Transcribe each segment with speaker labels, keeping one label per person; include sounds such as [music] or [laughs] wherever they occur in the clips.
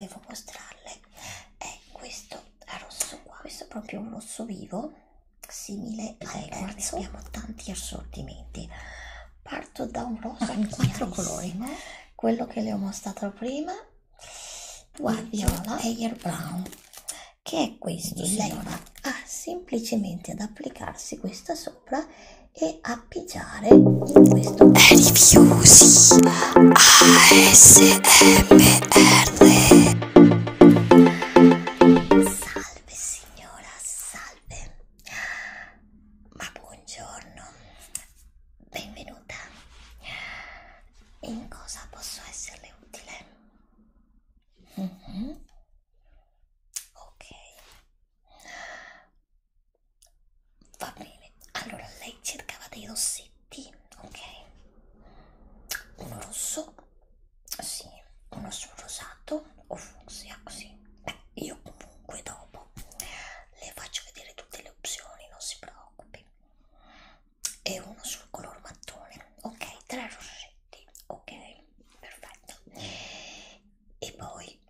Speaker 1: devo mostrarle è questo rosso qua questo è proprio un rosso vivo simile al terzo abbiamo tanti assortimenti parto da un rosso in quattro colori quello che le ho mostrato prima guardiola e air brown che è questo lei va semplicemente ad applicarsi questa sopra e appiggiare Rifiusi ASMR Salve signora, salve Ma buongiorno Benvenuta In cosa posso esserle utile? Mm -hmm. Ok Va bene, allora lei cercava dei rossetti, ok? Uno rosso, sì, uno sul rosato o fucsia, sì. Beh, io comunque dopo le faccio vedere tutte le opzioni, non si preoccupi. E uno sul color mattone, ok? Tre rossetti, ok? Perfetto. E poi [clears throat]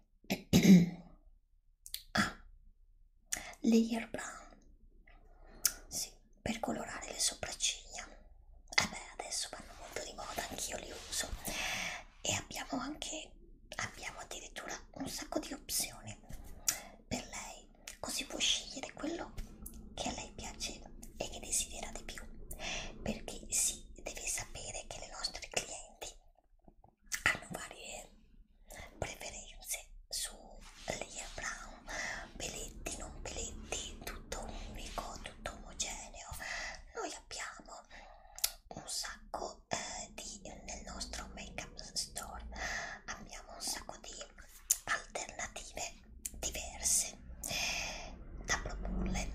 Speaker 1: Ah, layer brown, sì, per colorare le sopracciglia. Eh beh, adesso vanno molto di moda, anch'io li uso. E abbiamo anche, abbiamo addirittura un sacco di opzioni per lei, così può scegliere quello che a lei piace e che desidera di più. Perché si sì, deve sapere che le nostre clienti hanno varie preferenze su layer brown, peletti, non peletti, tutto unico, tutto omogeneo. Noi abbiamo un sacco eh, di nel nostro make-up store abbiamo un sacco di alternative diverse da proporle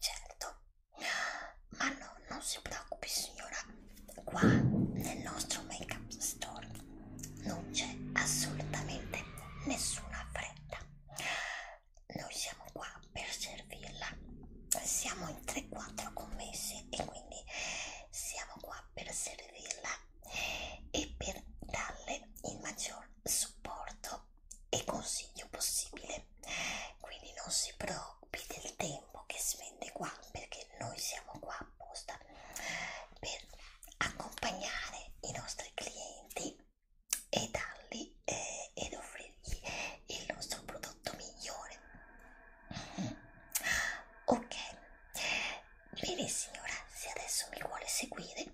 Speaker 1: certo ma no, non si preoccupi signora qua nel nostro make up store non c'è assolutamente nessuna fretta noi siamo qua per servirla siamo in 3-4 commessi e quindi siamo qua per servirla e per darle il maggior supporto e consiglio possibile mese quindi non si preoccupi del tempo che spende qua perché noi siamo qua apposta per accompagnare i nostri clienti e dargli eh, ed offrirgli il nostro prodotto migliore mm-hmm. ok bene signora se adesso mi vuole seguire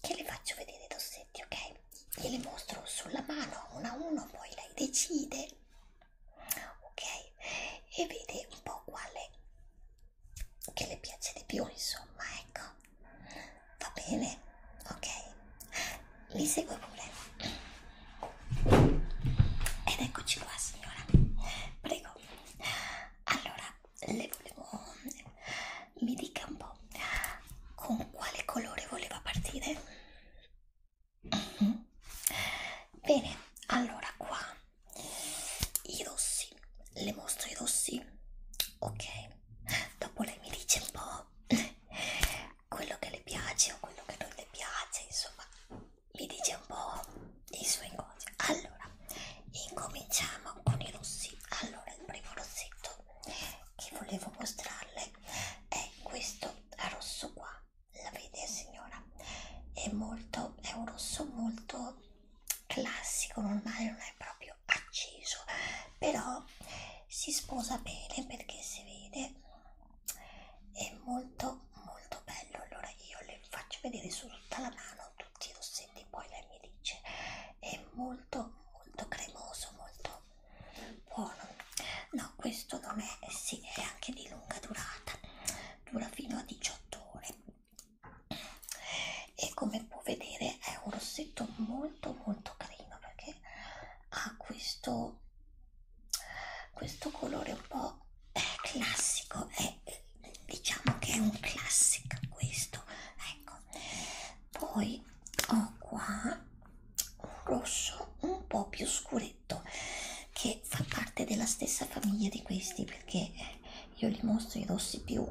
Speaker 1: che le faccio vedere i dossetti ok glieli mostro sulla mano uno a uno poi lei decide ok e vede un po' quale che le piace di più insomma ecco va bene ok li segue pure ed eccoci qua signora prego allora le volevo mi dica un po' con quale colore voleva partire Mm -hmm. Bene, allora qua i rossi, le mostro i rossi, ok, dopo lei mi dice un po' [laughs] quello che le piace o quello che non le piace, insomma, mi dice un po' i suoi cose. Allora, incominciamo con i rossi, allora il primo rossetto che volevo mostrarle è questo rosso qua la vede signora è molto è un rosso molto classico normale non è proprio acceso però si sposa bene perché si vede è molto molto bello allora io le faccio vedere su tutta la mano tutti i rossetti poi lei mi dice è molto molto cremoso molto buono no questo non è eh sì è anche di lunga durata dura fino a 18 ore e come può vedere è un rossetto molto molto carino perché ha questo questo colore un po' eh, classico è diciamo che è un classic questo ecco poi ho qua un rosso un po' più scuretto che fa parte della stessa famiglia di questi perché io li mostro i rossi più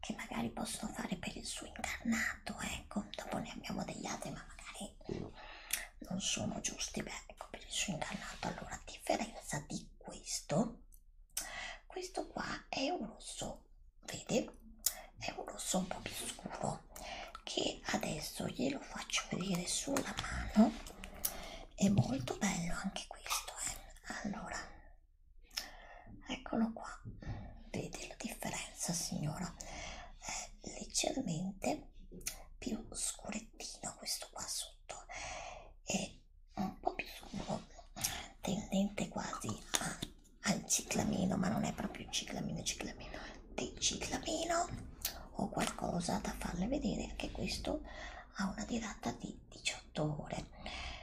Speaker 1: che magari possono fare per il suo incarnato ecco dopo ne abbiamo degli altri ma magari non sono giusti beh ecco per il suo incarnato allora a differenza di questo questo qua è un rosso vede è un rosso un po' più scuro che adesso glielo faccio vedere sulla mano è molto bello anche questo eh. allora eccolo qua vedi la differenza signora è leggermente più scurettino questo qua sotto è un po' più scuro tendente quasi a al ciclamino, ma non è proprio ciclamino, ciclamino, è dei ciclamino o qualcosa da farle vedere. Anche questo ha una durata di 18 ore,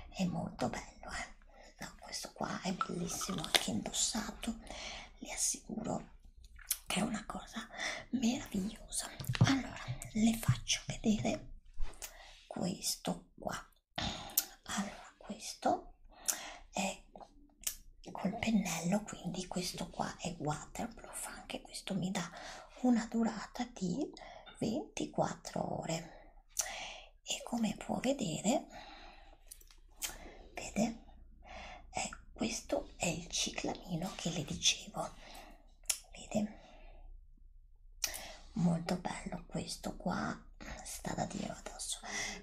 Speaker 1: è molto bello. Eh? No, questo qua è bellissimo anche indossato, le assicuro che è una cosa meravigliosa. Allora, le faccio vedere questo qua. Allora, questo è col pennello quindi questo qua è waterproof anche questo mi dà una durata di 24 ore e come può vedere vede eh, questo è il ciclamino che le dicevo vede molto bello questo qua sta da dio adesso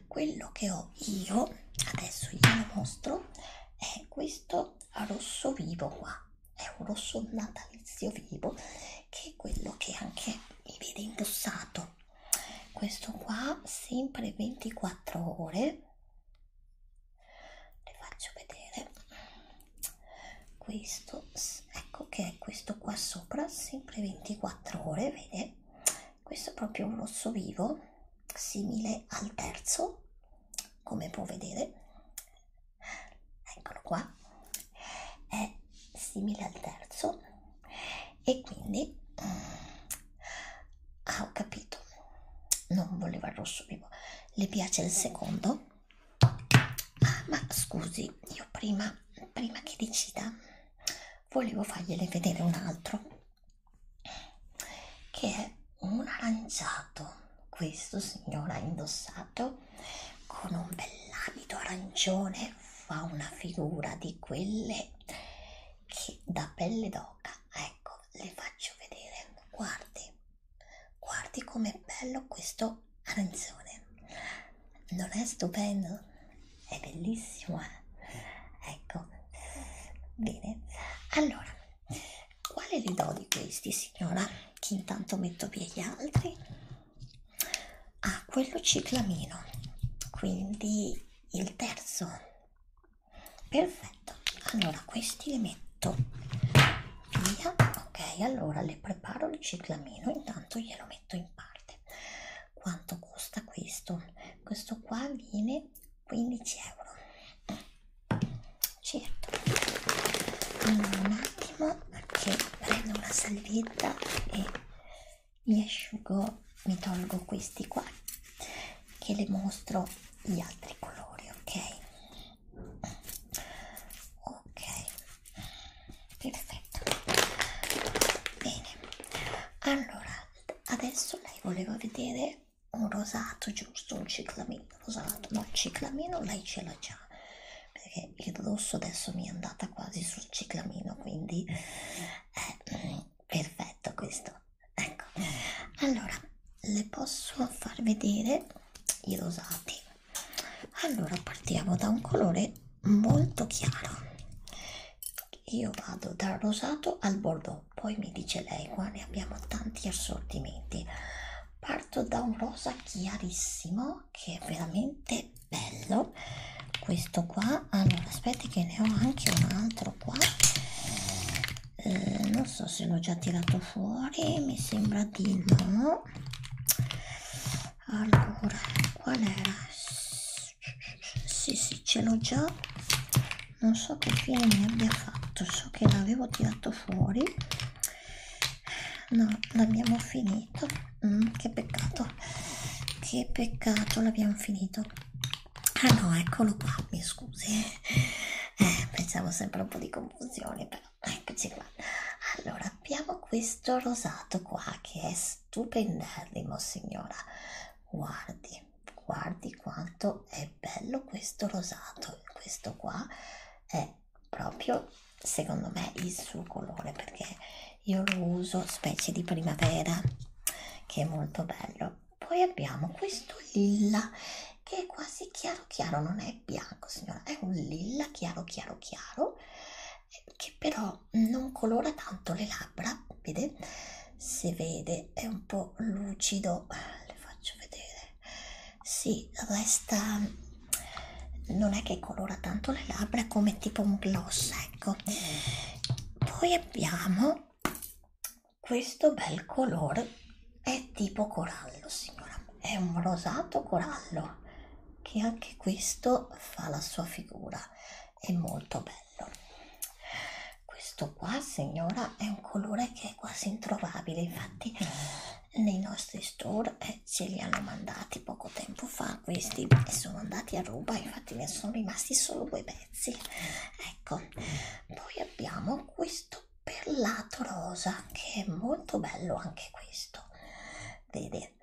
Speaker 1: quello che ho io adesso glielo mostro è questo rosso vivo qua è un rosso natalizio vivo che è quello che anche mi vede indossato questo qua sempre 24 ore le faccio vedere questo ecco che è questo qua sopra sempre 24 ore vede questo è proprio un osso vivo simile al terzo come può vedere eccolo qua è simile al terzo e quindi mm, ah ho capito non voleva il rosso vivo le piace il secondo ah, ma scusi io prima prima che decida volevo fargliele vedere un altro che è un aranciato questo signore ha indossato con un bell'abito arancione fa una figura di quelle che da pelle d'oca ecco le faccio vedere guardi guardi com'è bello questo arancione non è stupendo è bellissima eh? ecco bene allora quale le do di questi signora che intanto metto via gli altri ah quello ciclamino quindi il terzo perfetto allora questi li metto via ok allora le preparo il ciclamino intanto glielo metto in parte quanto costa questo questo qua viene 15 euro certo un attimo che prendo una salvietta e mi asciugo mi tolgo questi qua che le mostro gli altri colori ok ok perfetto bene allora adesso lei voleva vedere un rosato giusto un ciclamino rosato ma no, il ciclamino lei ce l'ha già perché il rosso adesso mi è andata quasi sul ciclamino quindi è eh, perfetto questo ecco allora le posso far vedere i rosati allora partiamo da un colore molto chiaro io vado dal rosato al bordeaux poi mi dice lei qua ne abbiamo tanti assortimenti parto da un rosa chiarissimo che è veramente bello questo qua allora ah, aspetta che ne ho anche un altro qua eh, non so se l'ho già tirato fuori mi sembra di no allora qual era sì sì ce l'ho già non so che fine mi abbia fatto so che l'avevo tirato fuori no l'abbiamo finito mm, che peccato che peccato l'abbiamo finito ah no eccolo qua mi scusi eh, pensavo sempre un po' di confusione però eccoci qua allora abbiamo questo rosato qua che è stupendissimo signora guardi guardi quanto è bello questo rosato questo qua è proprio secondo me il suo colore perché io lo uso specie di primavera che è molto bello poi abbiamo questo lilla che è quasi chiaro chiaro non è bianco signora è un lilla chiaro chiaro chiaro che però non colora tanto le labbra vede si vede è un po lucido le faccio vedere si resta non è che colora tanto le labbra come tipo un gloss ecco poi abbiamo questo bel colore è tipo corallo signora è un rosato corallo che anche questo fa la sua figura è molto bello questo qua signora è un colore che è quasi introvabile infatti nei nostri store eh, ce li hanno mandati poco tempo fa questi e sono andati a ruba infatti ne sono rimasti solo due pezzi ecco poi abbiamo questo perlato rosa che è molto bello anche questo vede bene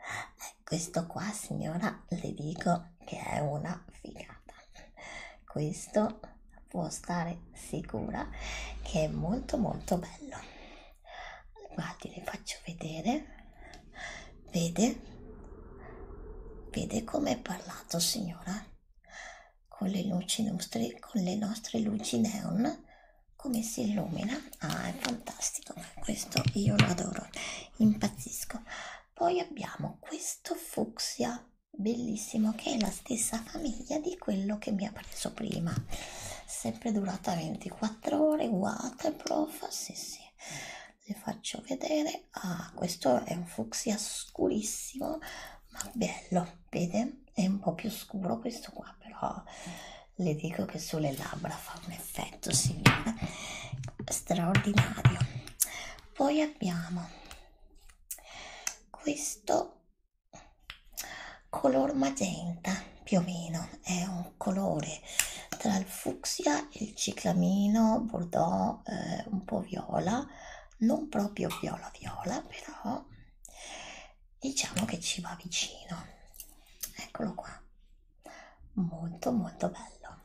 Speaker 1: questo qua signora le dico che è una figata questo può stare sicura che è molto molto bello guardi le faccio vedere vede vede come è parlato signora con le luci nostre con le nostre luci neon come si illumina ah è fantastico questo io lo adoro impazzisco poi abbiamo questo fucsia bellissimo che è la stessa famiglia di quello che mi ha preso prima sempre durata 24 ore waterproof sì sì le faccio vedere ah questo è un fucsia scurissimo ma bello vede è un po più scuro questo qua però le dico che sulle labbra fa un effetto signora straordinario poi abbiamo questo color magenta più o meno è un colore tra il fucsia e il ciclamino bordeaux eh, un po viola non proprio viola viola però diciamo che ci va vicino eccolo qua molto molto bello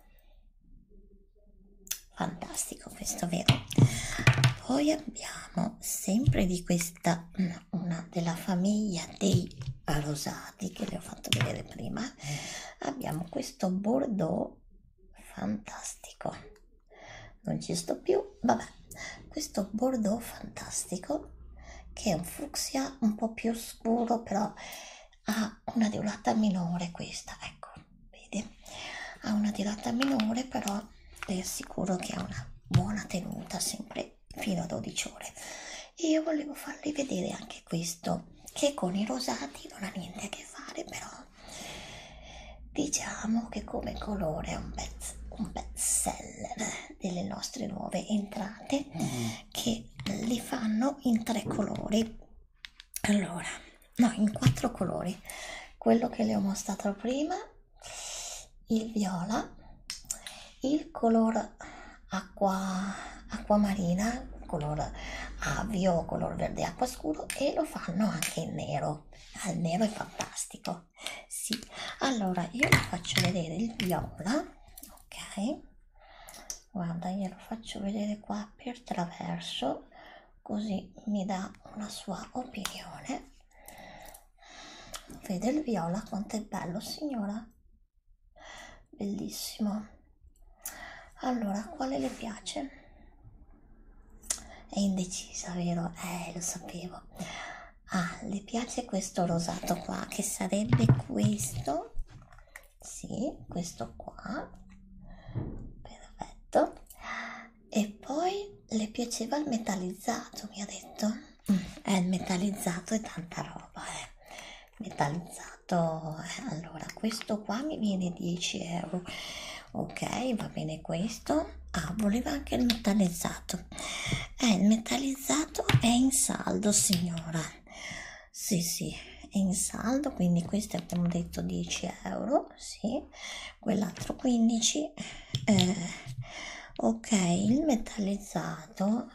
Speaker 1: fantastico questo vero poi abbiamo sempre di questa una della famiglia dei rosati che vi ho fatto vedere prima abbiamo questo bordeaux fantastico non ci sto più vabbè questo bordeaux fantastico che è un fucsia un po più scuro però ha ha una durata minore questa ecco vedi ha una durata minore però ti assicuro che ha una buona tenuta sempre fino a 12 ore e io volevo farvi vedere anche questo che con i rosati non ha niente a che fare però diciamo che come colore è un bel un seller delle nostre nuove entrate mm. che li fanno in tre colori allora no in quattro colori quello che le ho mostrato prima il viola il color acqua acquamarina color avio color verde acqua scuro e lo fanno anche in nero al ah, nero è fantastico sì allora io vi faccio vedere il viola ok guarda glielo faccio vedere qua per traverso così mi dà una sua opinione vede il viola quanto è bello signora bellissimo allora quale le piace è indecisa vero eh lo sapevo ah le piace questo rosato qua che sarebbe questo sì, questo qua, perfetto. E poi le piaceva il metallizzato, mi ha detto. Mm. Eh, il metallizzato è tanta roba, eh. Metallizzato, eh. allora questo qua mi viene 10 euro. Ok, va bene questo. Ah, voleva anche il metallizzato. Eh, il metallizzato è in saldo, signora sì sì è in saldo quindi queste abbiamo detto 10 euro sì quell'altro 15 eh, ok il metallizzato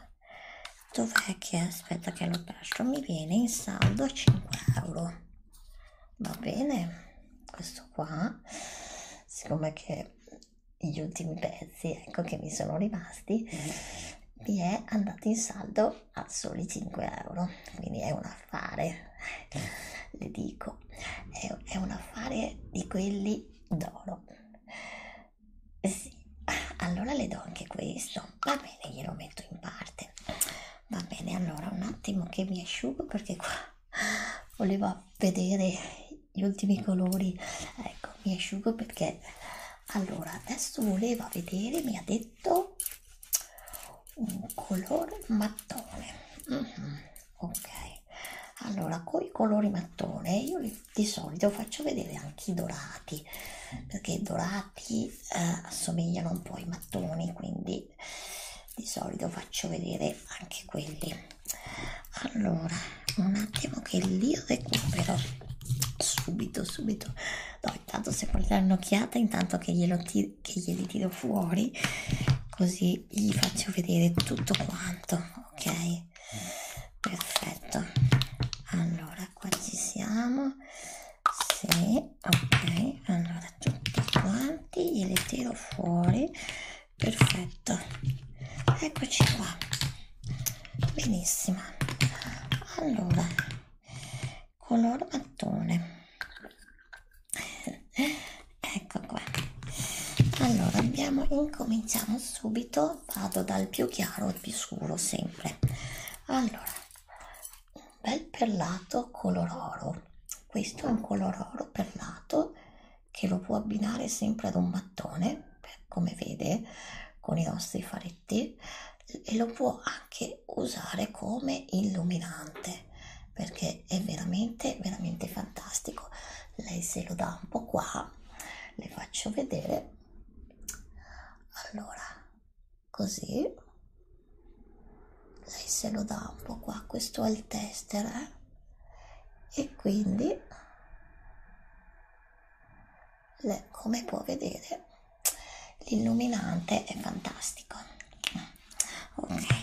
Speaker 1: dov'è che aspetta che lo lascio mi viene in saldo a 5 euro va bene questo qua siccome che gli ultimi pezzi ecco che mi sono rimasti mm-hmm. mi è andato in saldo euro a soli 5 euro quindi è un affare le dico è, è un affare di quelli d'oro sì allora le do anche questo va bene glielo metto in parte va bene allora un attimo che mi asciugo perché qua volevo vedere gli ultimi colori ecco mi asciugo perché allora adesso voleva vedere mi ha detto un colore mattone mm -hmm. ok allora con i colori mattone io li, di solito faccio vedere anche i dorati perché i dorati eh, assomigliano un po' ai mattoni quindi di solito faccio vedere anche quelli allora un attimo che li recupero subito subito No, intanto se vuoi dare un'occhiata, intanto che, glielo ti, che glieli tiro fuori, così gli faccio vedere tutto quanto, ok? Perfetto. Allora, qua ci siamo. Sì, ok. Allora, tutti quanti glieli tiro fuori. Perfetto. Eccoci qua benissimo allora color mattone ecco qua allora abbiamo incominciamo subito vado dal più chiaro al più scuro sempre allora un bel perlato color oro questo è un color oro perlato che lo può abbinare sempre ad un mattone come vede con i nostri fari effetti e lo può anche usare come illuminante perché è veramente veramente fantastico lei se lo dà un po qua le faccio vedere allora così lei se lo dà un po qua questo è il tester eh? e quindi le, come può vedere l'illuminante è fantastico ok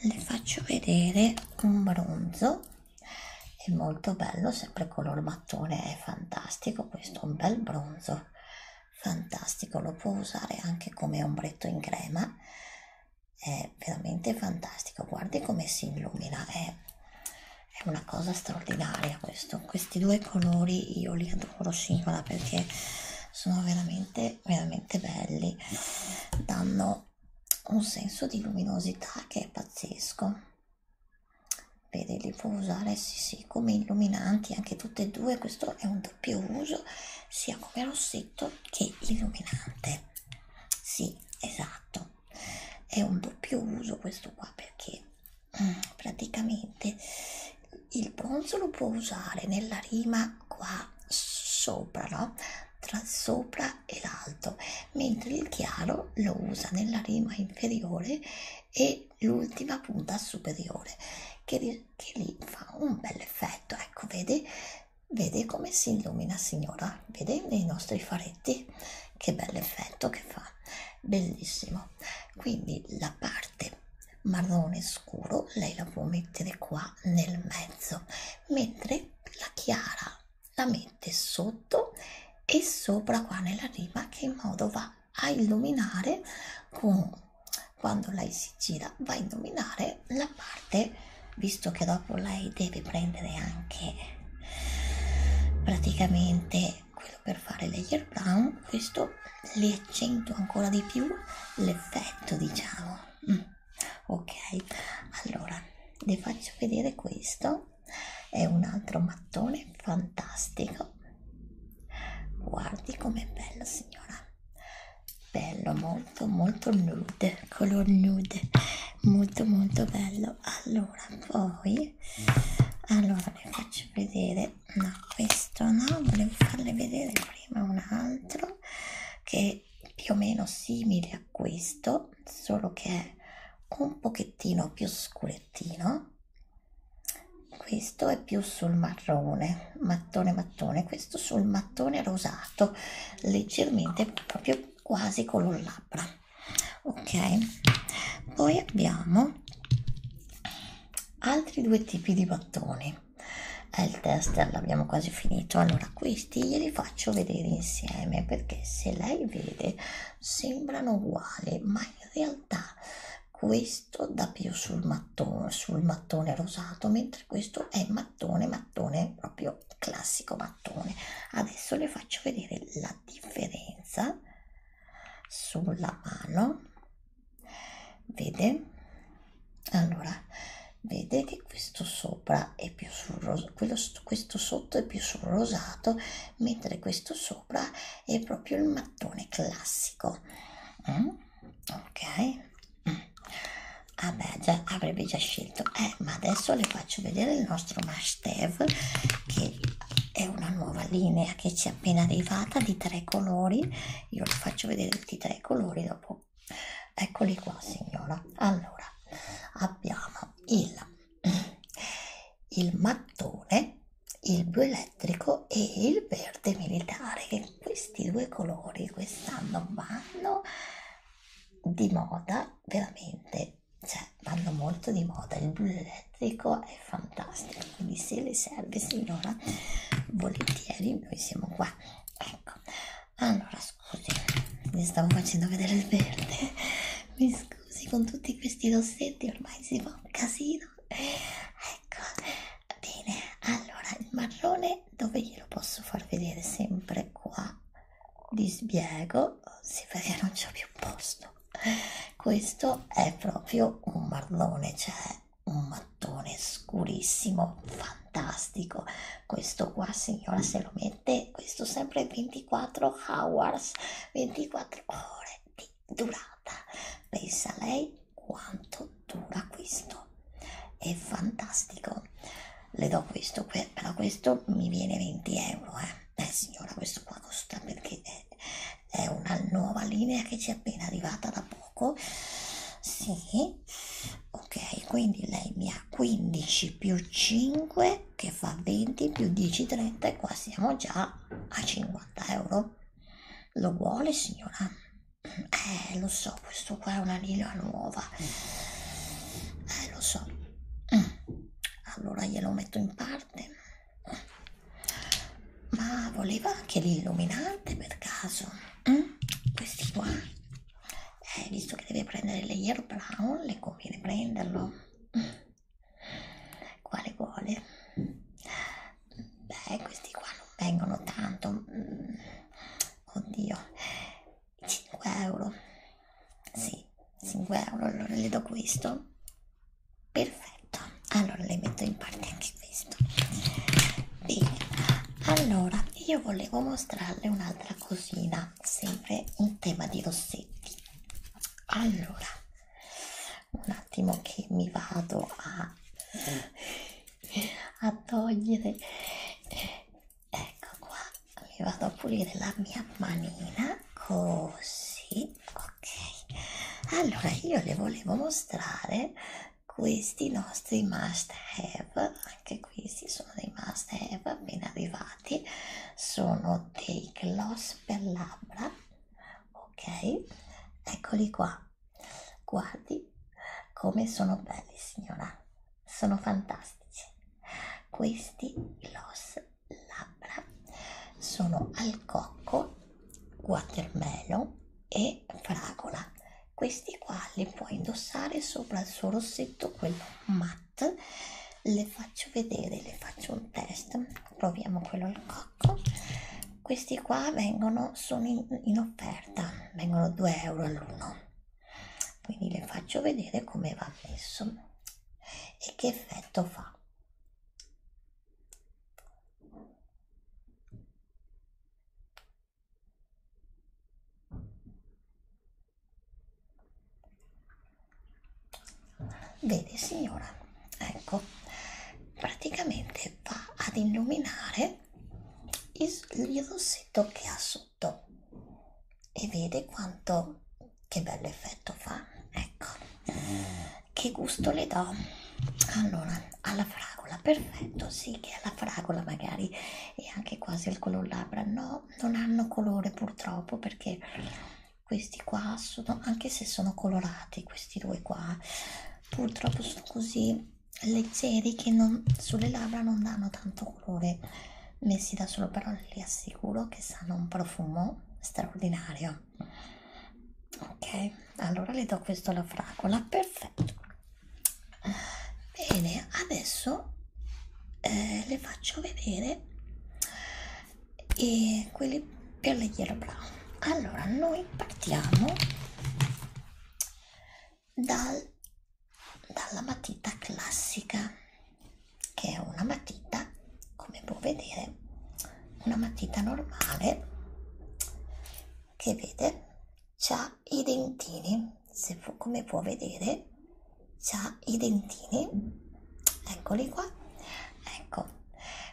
Speaker 1: le faccio vedere un bronzo è molto bello sempre color mattone è fantastico questo è un bel bronzo fantastico lo può usare anche come ombretto in crema è veramente fantastico guardi come si illumina è è una cosa straordinaria questo questi due colori io li adoro singola perché sono veramente veramente belli danno un senso di luminosità che è pazzesco Vedi, li può usare sì, sì, come illuminanti anche tutte e due. Questo è un doppio uso sia come rossetto che illuminante. Sì, esatto, è un doppio uso questo qua perché [clears throat] praticamente il bronzo lo può usare nella rima qua sopra no tra sopra e l'alto mentre il chiaro lo usa nella rima inferiore e l'ultima punta superiore che, che lì fa un bel effetto ecco vede vede come si illumina signora vede nei nostri faretti che bell'effetto che fa bellissimo quindi la parte marrone scuro lei la può mettere qua nel mezzo mentre la chiara la mette sotto e sopra qua nella riva che in modo va a illuminare con quando lei si gira va a illuminare la parte visto che dopo lei deve prendere anche praticamente e quello per fare layer brown questo le accentua ancora di più l'effetto diciamo mm. ok allora vi faccio vedere questo è un altro mattone fantastico guardi com'è bello signora bello molto molto nude color nude molto molto bello allora poi allora le faccio vedere no questo no volevo farle vedere prima un altro che è più o meno simile a questo solo che è un pochettino più scurettino questo è più sul marrone mattone mattone questo sul mattone rosato leggermente proprio quasi color labbra ok poi abbiamo altri due tipi di battoni eh, il test l'abbiamo quasi finito allora questi glieli faccio vedere insieme perché se lei vede sembrano uguali ma in realtà questo dà più sul mattone sul mattone rosato mentre questo è mattone mattone proprio classico mattone adesso le faccio vedere la differenza sulla mano vede allora vede che questo sopra è più sul rosato questo sotto è più sul rosato mentre questo sopra è proprio il mattone classico mm? ok mm. vabbè ah già avrebbe già scelto eh, ma adesso le faccio vedere il nostro mash Steve che è una nuova linea che ci è appena arrivata di tre colori io vi faccio vedere tutti i tre colori dopo eccoli qua signora allora abbiamo il il mattone il bioelettrico e il verde militare che questi due colori quest'anno vanno di moda veramente cioè, vanno molto di moda, il blu elettrico è fantastico, quindi se le serve signora, volentieri noi siamo qua, ecco, allora scusi, mi stavo facendo vedere il verde, [laughs] mi scusi con tutti questi rossetti, ormai si fa un casino, ecco, bene, allora il marrone dove glielo posso far vedere sempre qua, dispiego sì perché non c'ho più posto questo è proprio un marlone cioè un mattone scurissimo fantastico questo qua signora se lo mette questo sempre 24 hours 24 ore di durata pensa lei quanto dura questo è fantastico le do questo però questo mi viene 20 euro eh beh signora questo qua costa perché è, è una nuova linea che ci è appena arrivata da poco sì ok quindi lei mi ha 15 più 5 che fa 20 più 10 30 e qua siamo già a 50 euro lo vuole signora eh lo so questo qua è una linea nuova eh lo so mm. allora glielo metto in parte ma voleva anche l'illuminante per caso? Mm? Questi qua? Eh, visto che deve prendere le Yellow Brown, le conviene prenderlo. Quale vuole? Beh, questi qua non vengono tanto. Mm. Oddio, 5 euro. Sì, 5 euro, allora le do questo. Perfetto, allora le metto in parte anche questo. Bene, allora io volevo mostrarle un'altra cosina, sempre in tema di rossetti. Allora, un attimo che mi vado a, a togliere. Ecco qua mi vado a pulire la mia manina così ok allora io le volevo mostrare questi nostri must have anche questi sono dei must have appena arrivati sono dei gloss per labbra ok eccoli qua guardi come sono belli signora sono fantastici questi gloss labbra sono al cocco, watermelon e fragola. Questi qua li puoi indossare sopra il suo rossetto, quello matte. Le faccio vedere, le faccio un test. Proviamo quello al cocco. Questi qua vengono, sono in, in offerta, vengono 2 euro all'uno. Quindi le faccio vedere come va messo e che effetto fa vedi signora ecco praticamente va ad illuminare il, il rossetto che ha sotto e vede quanto che bello effetto fa ecco che gusto le do allora alla fragola perfetto sì che alla fragola magari e anche quasi il color labbra no non hanno colore purtroppo perché questi qua sono anche se sono colorati questi due qua purtroppo sono così leggeri che non, sulle labbra non danno tanto colore messi da solo, però li assicuro che sanno un profumo straordinario. Ok, allora le do questo alla fragola, perfetto. Bene, adesso eh, le faccio vedere e eh, quelli per le yellow brown. Allora, noi partiamo dal, dalla matita classica che è una matita come può vedere una matita normale che vede c'ha i dentini se fu, come può vedere c'ha i dentini eccoli qua ecco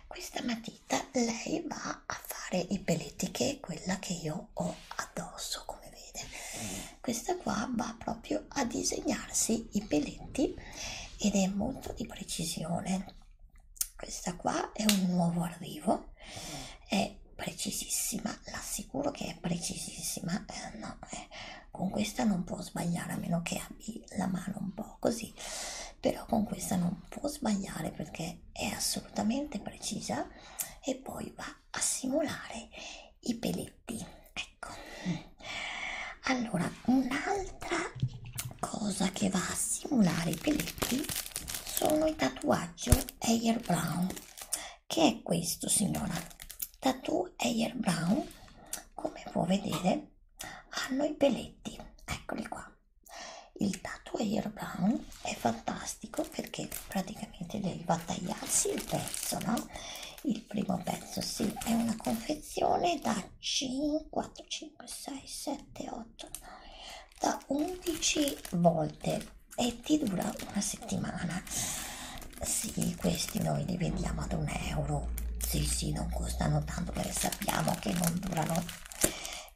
Speaker 1: questa matita lei va a fare i peletti che è quella che io ho addosso come vede questa qua va proprio proprio a disegnarsi i peletti ed è molto di precisione questa qua è un nuovo arrivo è precisissima l'assicuro che è precisissima eh, no, eh, con questa non può sbagliare a meno che abbi la mano un po' così però con questa non può sbagliare perché è assolutamente precisa e poi va a simulare i peletti tutti ecco allora un'altra cosa che va a simulare i peletti sono i tatuaggio air brown che è questo signora tattoo air brown come può vedere hanno i peletti eccoli qua il tattoo air brown è fantastico perché praticamente devi va a tagliarsi il pezzo no il primo pezzo sì è una confezione da 5 4 5 6 7 8 9 da 11 volte e ti dura una settimana sì questi noi li vendiamo ad un euro sì sì non costano tanto perché sappiamo che non durano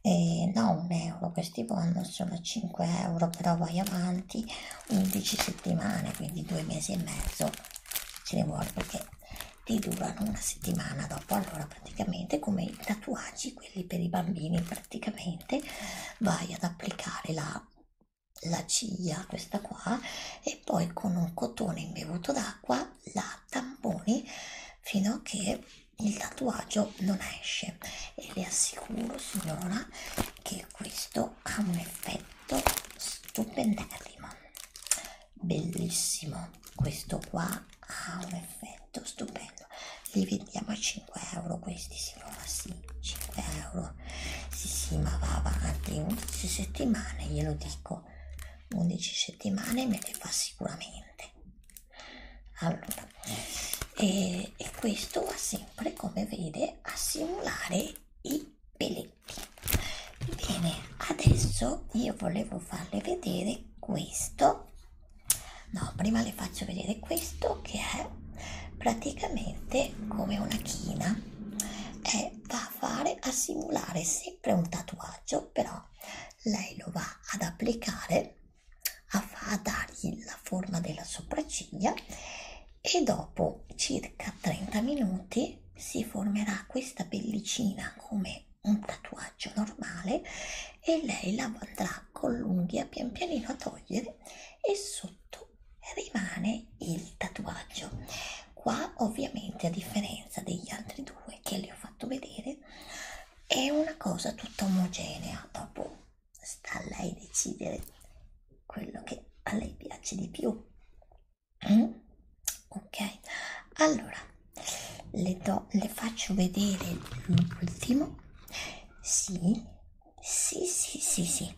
Speaker 1: eh, da un euro questi bond sono 5 euro però vai avanti 11 settimane quindi due mesi e mezzo ce ne vuole perché ti durano una settimana dopo allora praticamente come i tatuaggi quelli per i bambini praticamente vai ad applicare la, la ciglia questa qua e poi con un cotone imbevuto d'acqua la tamponi fino a che il tatuaggio non esce e le assicuro signora che questo ha un effetto stupendissimo bellissimo questo qua ha un effetto stupendo li vendiamo a 5 euro questi si trova sì 5 euro sì sì ma va avanti 11 settimane glielo dico 11 settimane me le fa sicuramente allora e, eh, e questo va sempre come vede a simulare i peli pezzetti bene adesso io volevo farle vedere questo no prima le faccio vedere questo che è praticamente come una china e va a fare a simulare sempre un tatuaggio però lei lo va ad applicare a, a dargli la forma della sopracciglia e dopo circa 30 minuti si formerà questa pellicina come un tatuaggio normale e lei la andrà con l'unghia pian pianino a togliere e sotto rimane il tatuaggio qua ovviamente a differenza degli altri due che li ho fatto vedere è una cosa tutta omogenea dopo sta a lei decidere quello che a lei piace di più Mm? [clears throat] Ok, allora le, do, le faccio vedere l'ultimo. Sì, sì, sì, sì, sì.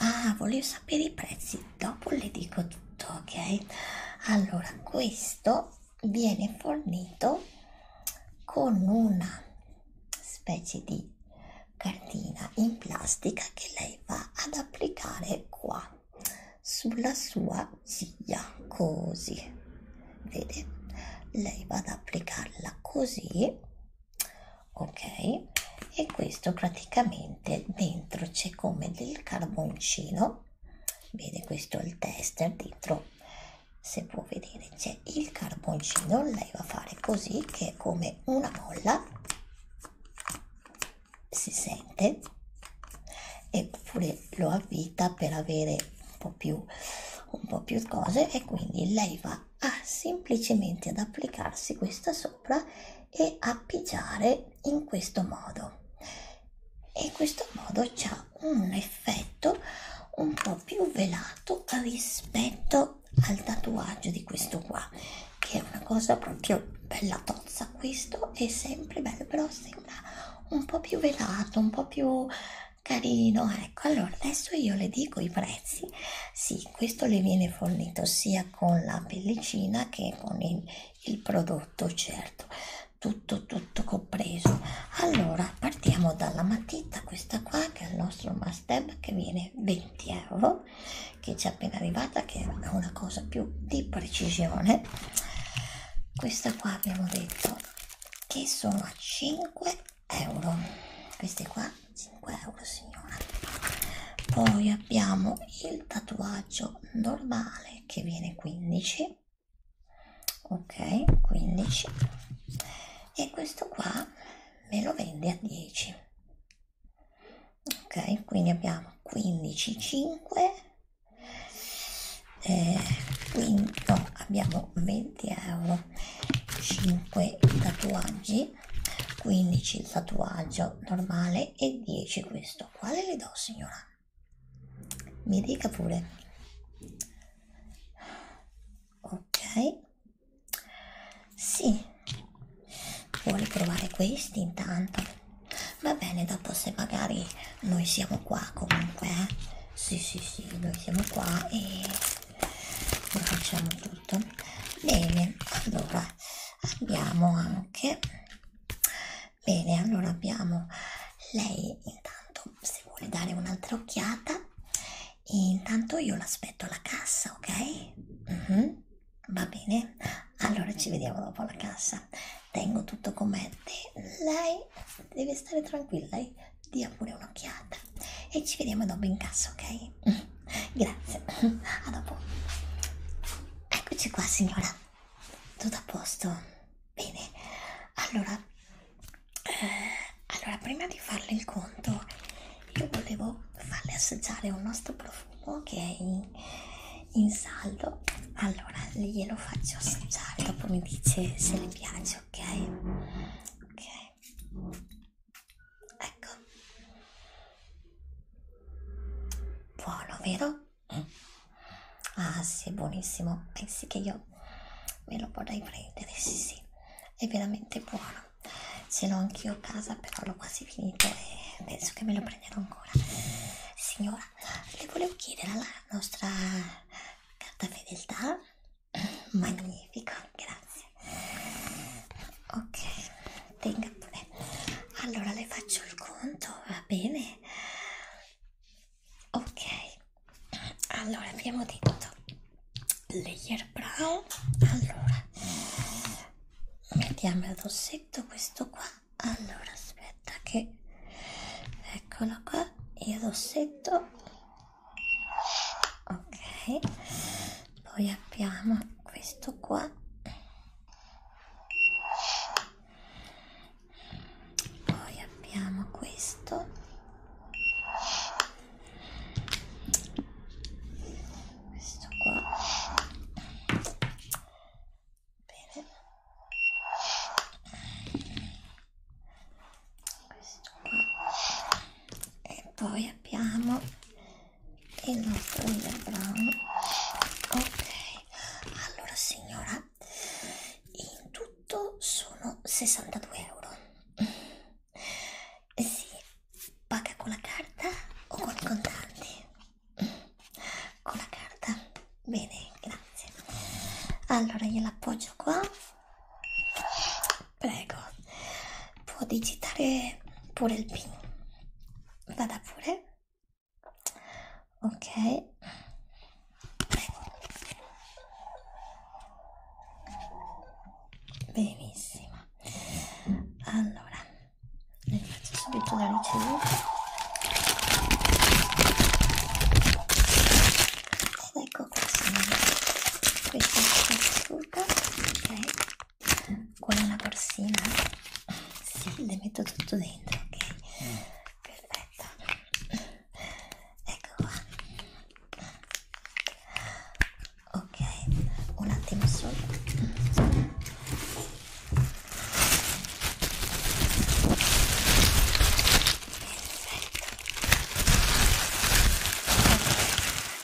Speaker 1: Ah, volevo sapere i prezzi, dopo le dico tutto, ok? Allora, questo viene fornito con una specie di cartina in plastica che lei va ad applicare qua sulla sua ziglia così vede lei va ad applicarla così ok e questo praticamente dentro c'è come del carboncino vede questo è il tester dentro se può vedere c'è il carboncino lei va a fare così che è come una molla si sente eppure lo avvita per avere un po' più, un po più cose e quindi lei va a semplicemente ad applicarsi questa sopra e a pigiare in questo modo e in questo modo c'ha un effetto un po' più velato rispetto al tatuaggio di questo qua che è una cosa proprio bella tozza questo è sempre bello però sembra un po' più velato un po' più carino ecco allora adesso io le dico i prezzi sì questo le viene fornito sia con la pellicina che con il, il prodotto certo tutto tutto compreso allora partiamo dalla matita questa qua che è il nostro must che viene 20 euro che ci è appena arrivata che è una cosa più di precisione questa qua abbiamo detto che sono a 5 euro queste qua 5 euro signora poi abbiamo il tatuaggio normale che viene 15 ok 15 e questo qua me lo vende a 10 ok quindi abbiamo 15 5 eh, quindi, no, abbiamo 20 euro 5 tatuaggi 15 il tatuaggio normale e 10 questo quale le do signora mi dica pure ok sì, vuole provare questi intanto? Va bene, dopo se magari noi siamo qua comunque, eh? Sì, sì, sì, noi siamo qua e lo facciamo tutto. Bene, allora abbiamo anche... Bene, allora abbiamo lei intanto se vuole dare un'altra occhiata e intanto io l'aspetto alla cassa, ok? Mm -hmm. Va bene, allora ci vediamo dopo alla cassa. Tengo tutto con me. Lei deve stare tranquilla, lei dia pure un'occhiata. E ci vediamo dopo in cassa, ok? [laughs] Grazie, a dopo. Eccoci qua, signora. Tutto a posto? Bene, allora, eh, allora prima di farle il conto io volevo farle assaggiare un nostro profumo che è in, in saldo allora glielo faccio assaggiare dopo mi dice se le piace ok ok ecco buono vero mm. ah sì buonissimo pensi eh che io me lo vorrei prendere sì sì è veramente buono ce l'ho anch'io a casa però l'ho quasi finito e penso che me lo prenderò ancora signora le volevo chiedere la nostra carta fedeltà [clears throat] magnifico grazie ok tenga pure allora le faccio il conto va bene ok allora abbiamo detto layer brown allora allora mettiamo il rossetto questo qua allora aspetta che eccolo qua il rossetto ok poi abbiamo questo qua poi abbiamo questo questo qua bene questo qua e poi abbiamo il nostro Brown ok allora signora in tutto sono 62 euro eh si paga con la carta o con i contanti? Con la carta, bene, grazie. Allora io l'appoggio qua. Prego, può digitare pure il PIN. Vada pure. Ok. Benissimo allora le faccio subito la ricevuta ed ecco qua questa è la ok con una corsina sì, le metto tutto dentro ok perfetto ecco qua ok un attimo solo perfetto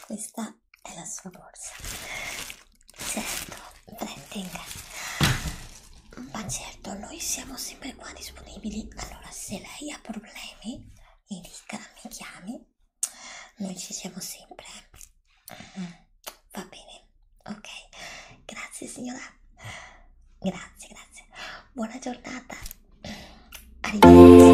Speaker 1: questa è la sua borsa certo tenga ma certo noi siamo sempre qua disponibili allora se lei ha problemi mi dica mi chiami noi ci siamo sempre mm, va bene ok grazie signora grazie grazie buona giornata arrivederci